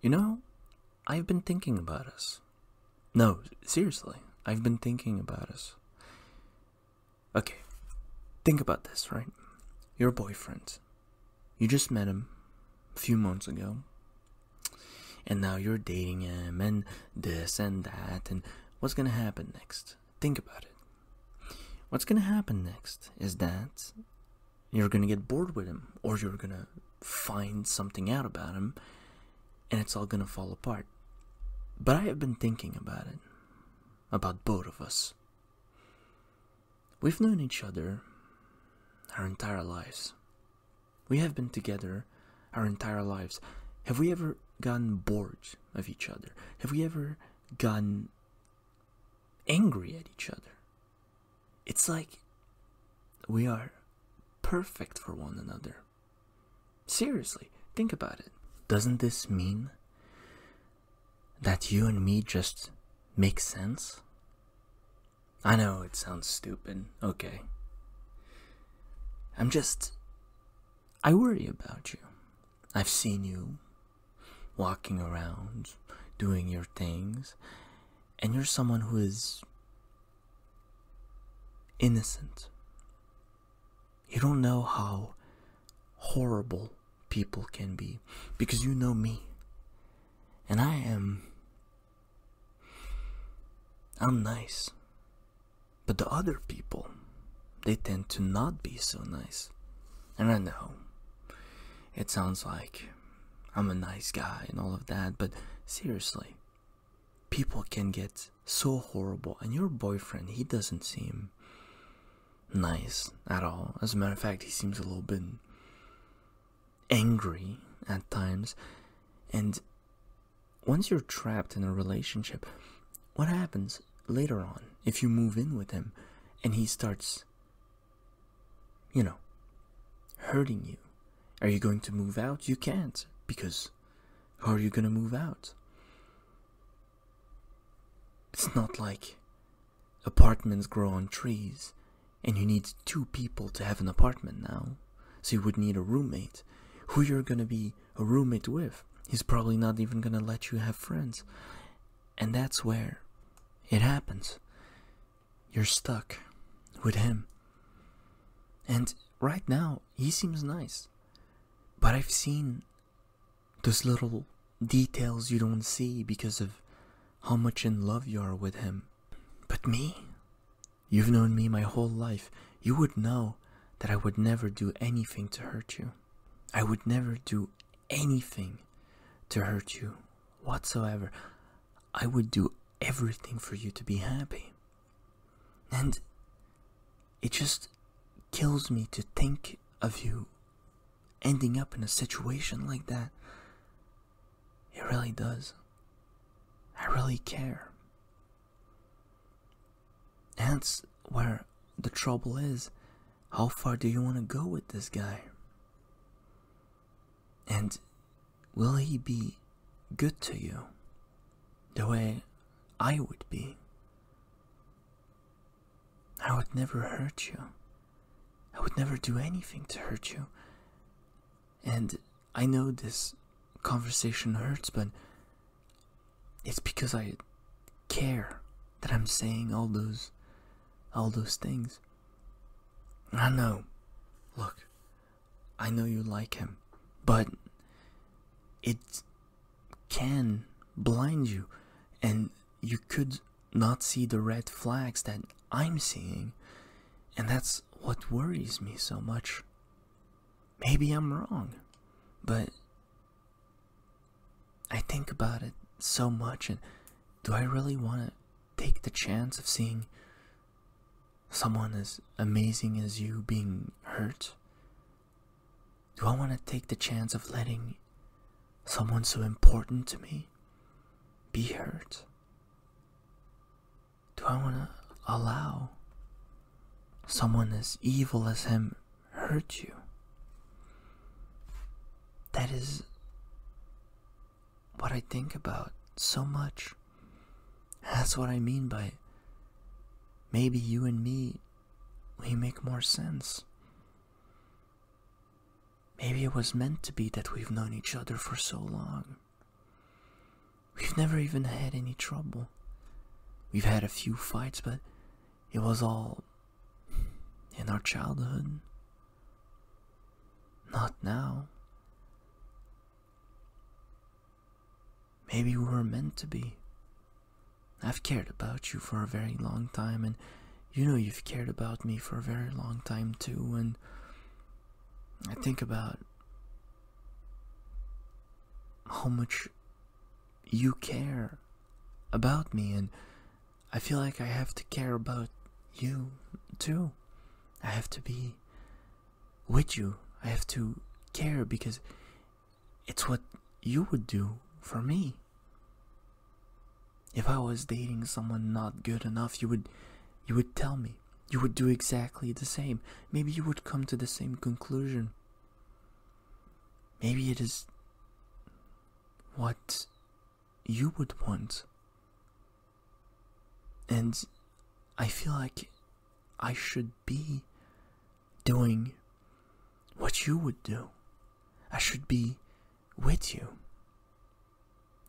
You know, I've been thinking about us. No, seriously, I've been thinking about us. Okay, think about this, right? Your boyfriend. You just met him a few months ago. And now you're dating him and this and that. And what's gonna happen next? Think about it. What's gonna happen next is that you're going to get bored with him, or you're going to find something out about him, and it's all going to fall apart. But I have been thinking about it, about both of us. We've known each other our entire lives. We have been together our entire lives. Have we ever gotten bored of each other? Have we ever gotten angry at each other? it's like we are perfect for one another. Seriously, think about it. Doesn't this mean that you and me just make sense? I know it sounds stupid, okay. I'm just. I worry about you. I've seen you walking around, doing your things, and you're someone who is innocent. You don't know how horrible people can be because you know me. And I am. I'm nice. But the other people, they tend to not be so nice. And I know it sounds like I'm a nice guy and all of that, but seriously, people can get so horrible. And your boyfriend, he doesn't seem nice at all. As a matter of fact, he seems a little bit angry at times. And once you're trapped in a relationship, what happens later on if you move in with him and he starts you know, hurting you. Are you going to move out? You can't because how are you going to move out? It's not like apartments grow on trees and you need two people to have an apartment now. So you would need a roommate. Who you're going to be a roommate with? He's probably not even going to let you have friends. And that's where it happens. You're stuck with him. And right now, he seems nice. But I've seen those little details you don't see because of how much in love you are with him. But me? You've known me my whole life. You would know that I would never do anything to hurt you. I would never do anything to hurt you whatsoever. I would do everything for you to be happy. And it just kills me to think of you ending up in a situation like that. It really does. I really care. that's where the trouble is. How far do you want to go with this guy? And will he be good to you the way I would be? I would never hurt you. I would never do anything to hurt you. And I know this conversation hurts, but it's because I care that I'm saying all those all those things. I know. Look, I know you like him, but it can blind you and you could not see the red flags that I'm seeing, and that's what worries me so much. Maybe I'm wrong, but I think about it so much, and do I really want to take the chance of seeing someone as amazing as you being hurt? Do I want to take the chance of letting someone so important to me be hurt? Do I want to allow someone as evil as him hurt you. That is what I think about so much. That's what I mean by maybe you and me, we make more sense. Maybe it was meant to be that we've known each other for so long. We've never even had any trouble. We've had a few fights, but it was all in our childhood. Not now. Maybe we were meant to be. I've cared about you for a very long time, and you know you've cared about me for a very long time too, and I think about how much you care about me, and I feel like I have to care about you too. I have to be with you. I have to care because it's what you would do for me. If I was dating someone not good enough, you would you would tell me. You would do exactly the same. Maybe you would come to the same conclusion. Maybe it is what you would want. And I feel like I should be doing what you would do. I should be with you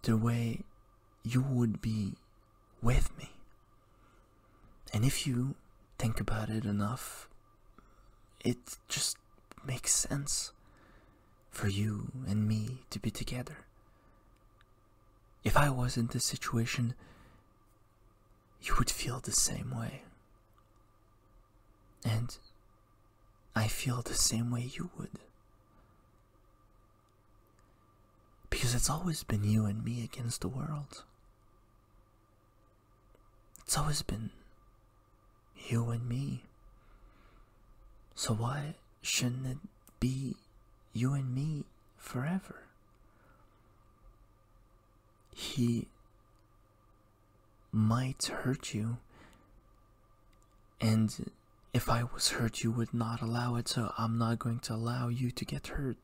the way you would be with me. And if you think about it enough, it just makes sense for you and me to be together. If I was in this situation, you would feel the same way. And I feel the same way you would. Because it's always been you and me against the world. It's always been you and me. So why shouldn't it be you and me forever? He might hurt you, and if I was hurt, you would not allow it, so I'm not going to allow you to get hurt.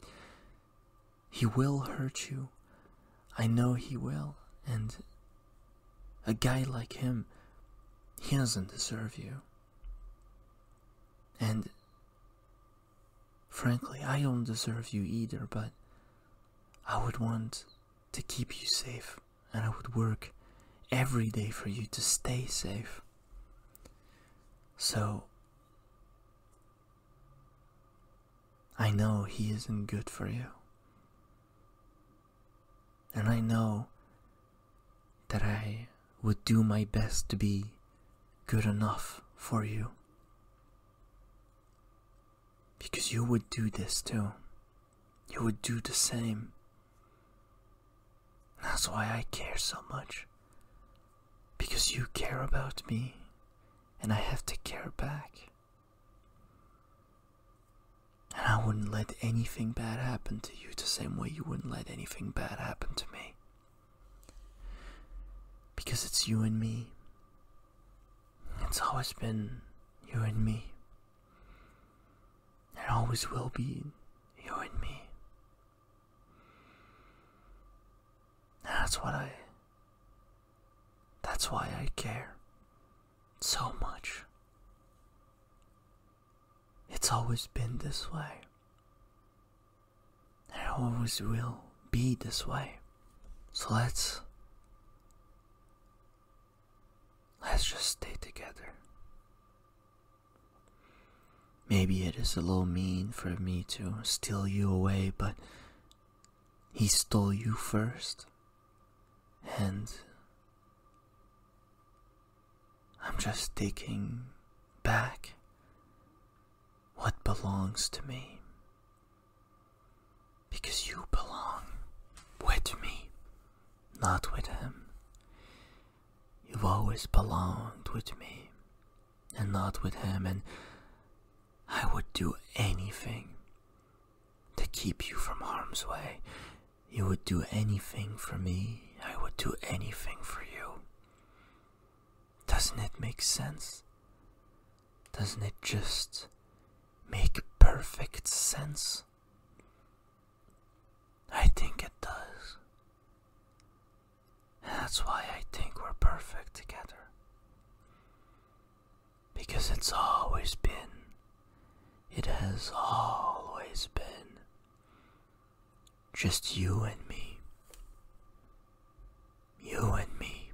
He will hurt you. I know he will. And a guy like him, he doesn't deserve you. And frankly, I don't deserve you either, but I would want to keep you safe and I would work every day for you to stay safe. So I know he isn't good for you. And I know that I would do my best to be good enough for you. Because you would do this too. You would do the same. That's why I care so much. Because you care about me, and I have to care back. And I wouldn't let anything bad happen to you the same way you wouldn't let anything bad happen to me. Because it's you and me. It's always been you and me. It always will be you and me. That's what I. That's why I care so much. It's always been this way. It always will be this way. So let's. Let's just stay together. Maybe it is a little mean for me to steal you away, but he stole you first. And I'm just taking back what belongs to me. Because you belong with me, not with him. You've always belonged with me and not with him, and I would do anything to keep you from harm's way. You would do anything for me, I would do anything for you. Doesn't it make sense? Doesn't it just make perfect sense? I think it does. That's why I think we're perfect together. Because it's always been. It has always been. Just you and me. You and me.